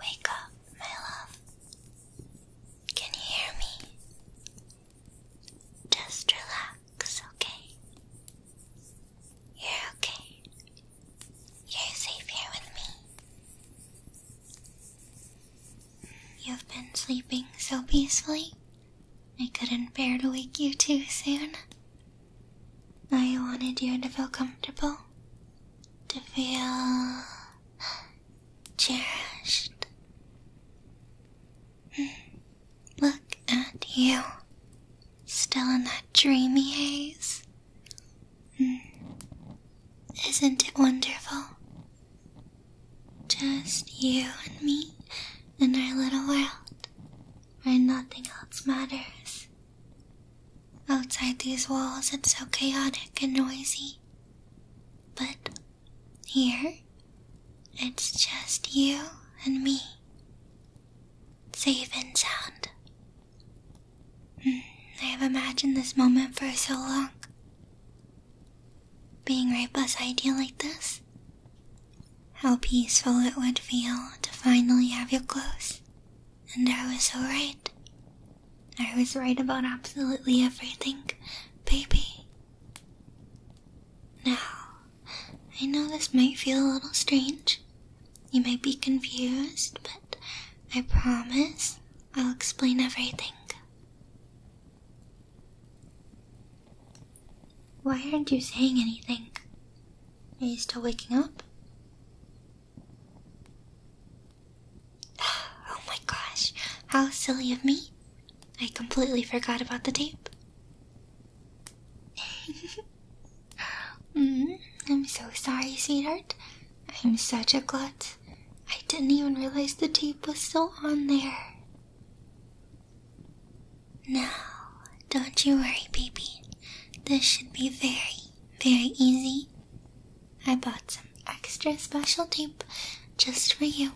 Wake up, my love. Can you hear me? Just relax, okay? You're okay. You're safe here with me. Mm, you've been sleeping so peacefully, I couldn't bear to wake you too soon. I wanted you to feel comfortable, to feel cherished. Mm, look at you, still in that dreamy haze. Isn't it wonderful? Just you and me in our little world where nothing else matters. Outside these walls, it's so chaotic and noisy. But here, it's just you and me. Safe and sound. I have imagined this moment for so long. Being right by beside you like this. How peaceful it would feel to finally have you close. And I was so right. I was right about absolutely everything, baby. Now, I know this might feel a little strange, you might be confused, but I promise I'll explain everything. Why aren't you saying anything? Are you still waking up? Oh my gosh, how silly of me! I completely forgot about the tape. Mm-hmm. I'm so sorry, sweetheart. I'm such a glut. I didn't even realize the tape was still on there. Now, don't you worry, baby. This should be very, very easy. I bought some extra special tape just for you.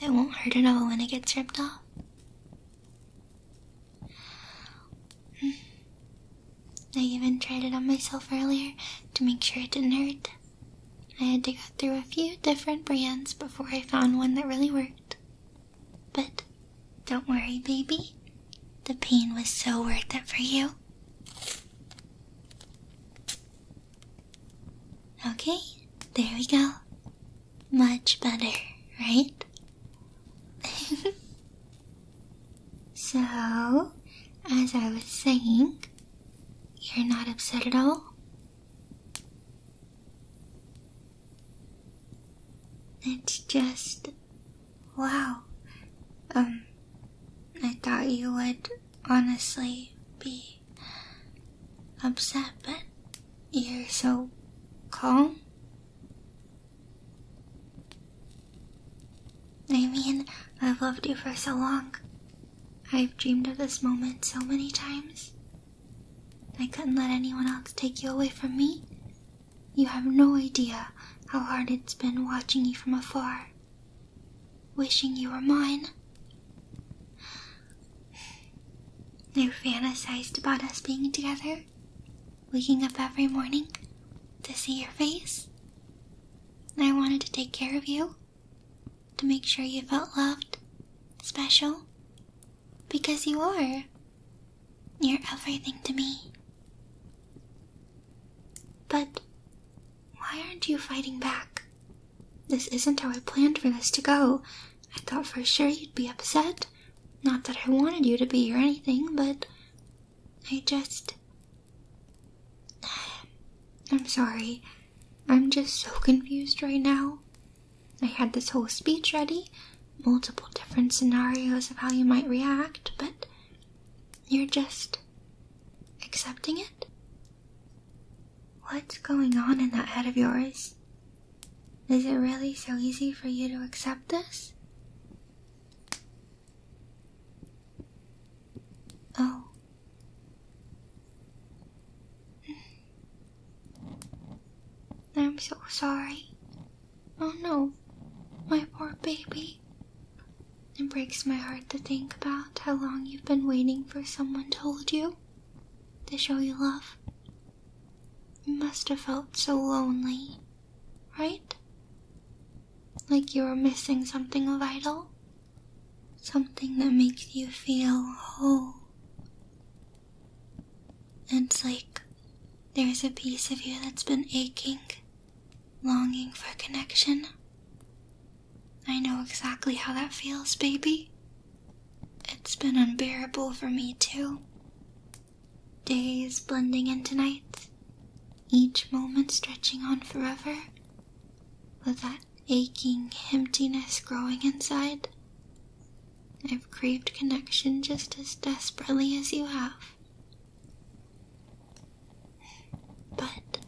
It won't hurt at all when it gets ripped off. Hmm. I even tried it on myself earlier to make sure it didn't hurt. I had to go through a few different brands before I found one that really worked. But don't worry, baby. The pain was so worth it for you. Okay, there we go. Much better, right? so, as I was saying, you're not upset at all? It's just. Wow. Um, I thought you would honestly be upset, but you're so calm. I mean, I've loved you for so long. I've dreamed of this moment so many times. I couldn't let anyone else take you away from me. You have no idea how hard it's been watching you from afar, wishing you were mine. I fantasized about us being together, waking up every morning to see your face. I wanted to take care of you, to make sure you felt loved, special, because you are. You're everything to me. But why aren't you fighting back? This isn't how I planned for this to go. I thought for sure you'd be upset. Not that I wanted you to be or anything, but I just. I'm sorry. I'm just so confused right now. I had this whole speech ready, multiple different scenarios of how you might react, but you're just accepting it? What's going on in that head of yours? Is it really so easy for you to accept this? Oh. I'm so sorry. Oh no, my poor baby. It breaks my heart to think about how long you've been waiting for someone to hold you, to show you love, you must have felt so lonely, right? Like you were missing something vital? Something that makes you feel whole. It's like there's a piece of you that's been aching, longing for connection. I know exactly how that feels, baby. It's been unbearable for me, too. Days blending into nights, each moment stretching on forever, with that aching emptiness growing inside. I've craved connection just as desperately as you have. But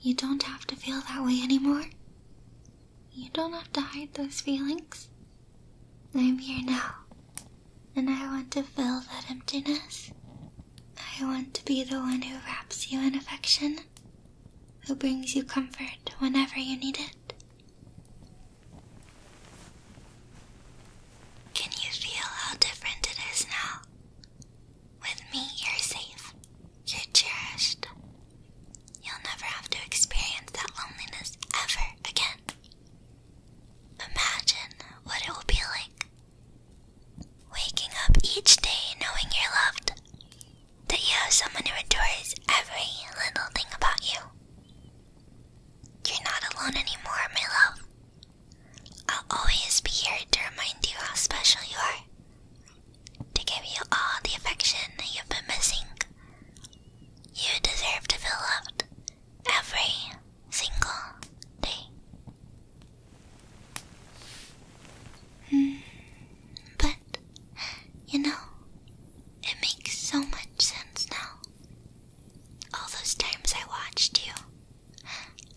you don't have to feel that way anymore. You don't have to hide those feelings. I'm here now, and I want to fill that emptiness. I want to be the one who wraps you in affection, who brings you comfort whenever you need it. Can you feel how different it is now? With me, you're safe, you're cherished, You'll never have to experience that loneliness ever again. Imagine what it will be like. Waking up each day knowing you're loved, that you have someone who adores every little thing about you. You're not alone anymore, my love. I'll always be here to remind you how special you are, to give you all the affection that you've been missing, you deserve to feel loved every single day. Mm, but, you know, it makes so much sense now. All those times I watched you,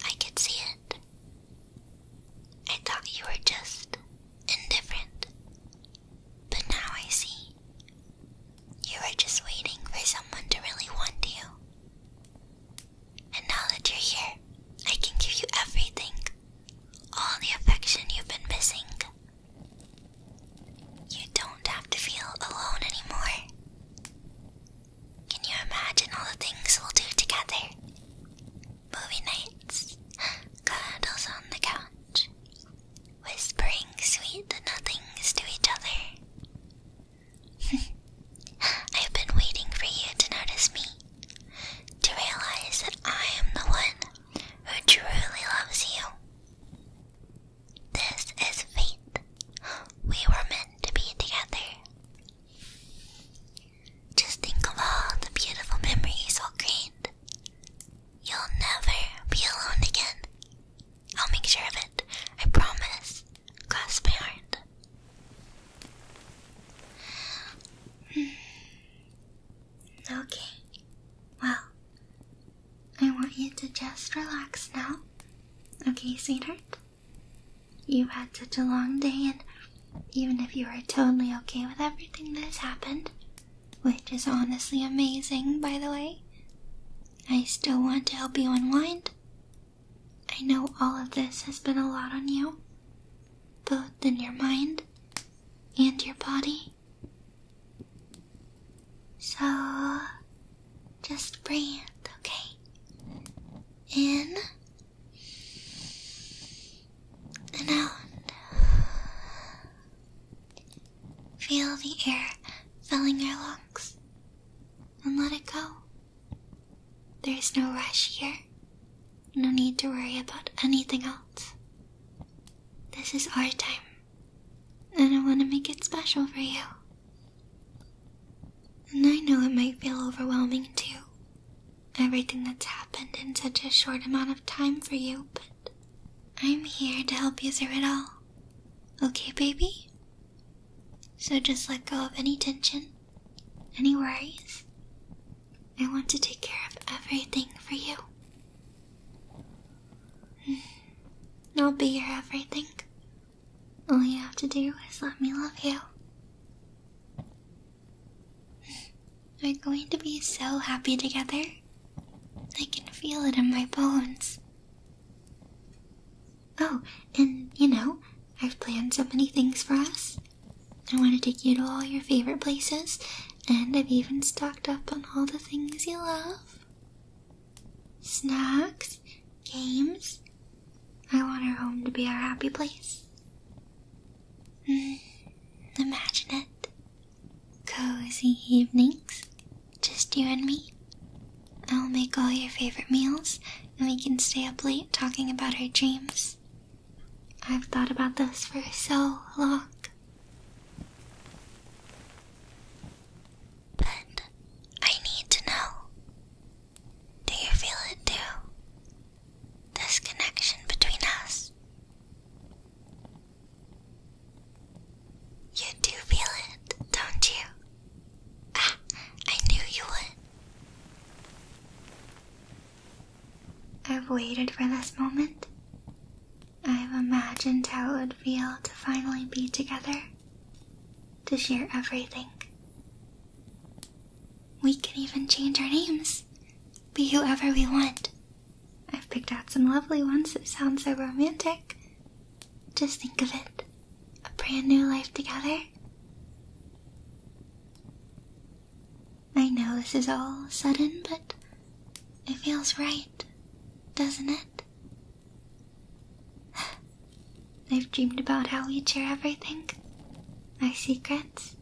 I could see it. I thought you were just indifferent but now I see. You were just waiting for someone to really want you. And now that you're here, I can give you everything. All the affection you've been missing. You don't have to feel alone anymore. Can you imagine all the things we'll do together? Movie nights, cuddles on the couch, whispering sweet nothings to each other. I've been waiting for you to notice me, to realize that I am the one who truly loves you. This is fate. We were meant to be together. Just think of all the beautiful memories we'll create You'll never be alone again. I'll make sure of it. I promise. Cross my heart. Hmm. Okay. Well, I want you to just relax now. Okay, sweetheart? You've had such a long day, and even if you are totally okay with everything that has happened, which is honestly amazing, by the way. I still want to help you unwind. I know all of this has been a lot on you, both in your mind and your body. So, just breathe, okay? In and out. Feel the air filling your lungs and let it go. There is no rush here, no need to worry about anything else. This is our time, and I want to make it special for you. And I know it might feel overwhelming to you, everything that's happened in such a short amount of time for you, but I'm here to help you through it all. Okay, baby? So just let go of any tension, any worries. I want to take care of everything for you. Mm-hmm. I'll be your everything. All you have to do is let me love you. We're going to be so happy together. I can feel it in my bones. Oh, and you know, I've planned so many things for us. I want to take you to all your favorite places, and I've even stocked up on all the things you love snacks, games. I want our home to be our happy place. Hmm, imagine it cozy evenings, just you and me. I'll make all your favorite meals, and we can stay up late talking about our dreams. I've thought about this for so long. But I need to know. Do you feel it too? this connection between us. You do feel it, don't you? Ah, I knew you would. I've waited for this moment. I've imagined how it would feel to finally be together, to share everything. We can even change our names be whoever we want. I've picked out some lovely ones that sound so romantic. Just think of it a brand new life together. I know this is all sudden, but it feels right, doesn't it? I've dreamed about how we would share everything our secrets,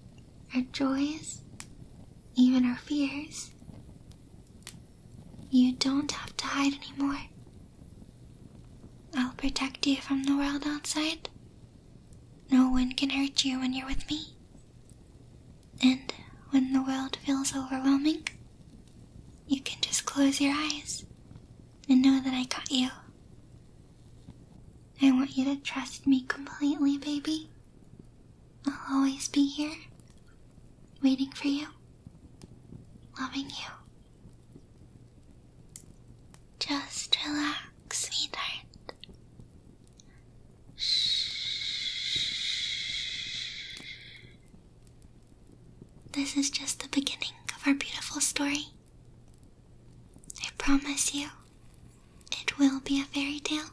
our joys, even our fears. You don't have to hide anymore. I'll protect you from the world outside. No one can hurt you when you're with me. And when the world feels overwhelming, you can just close your eyes and know that I got you. I want you to trust me completely, baby. I'll always be here, waiting for you, loving you. Just relax, sweetheart. Shh. This is just the beginning of our beautiful story. I promise you, it will be a fairy tale.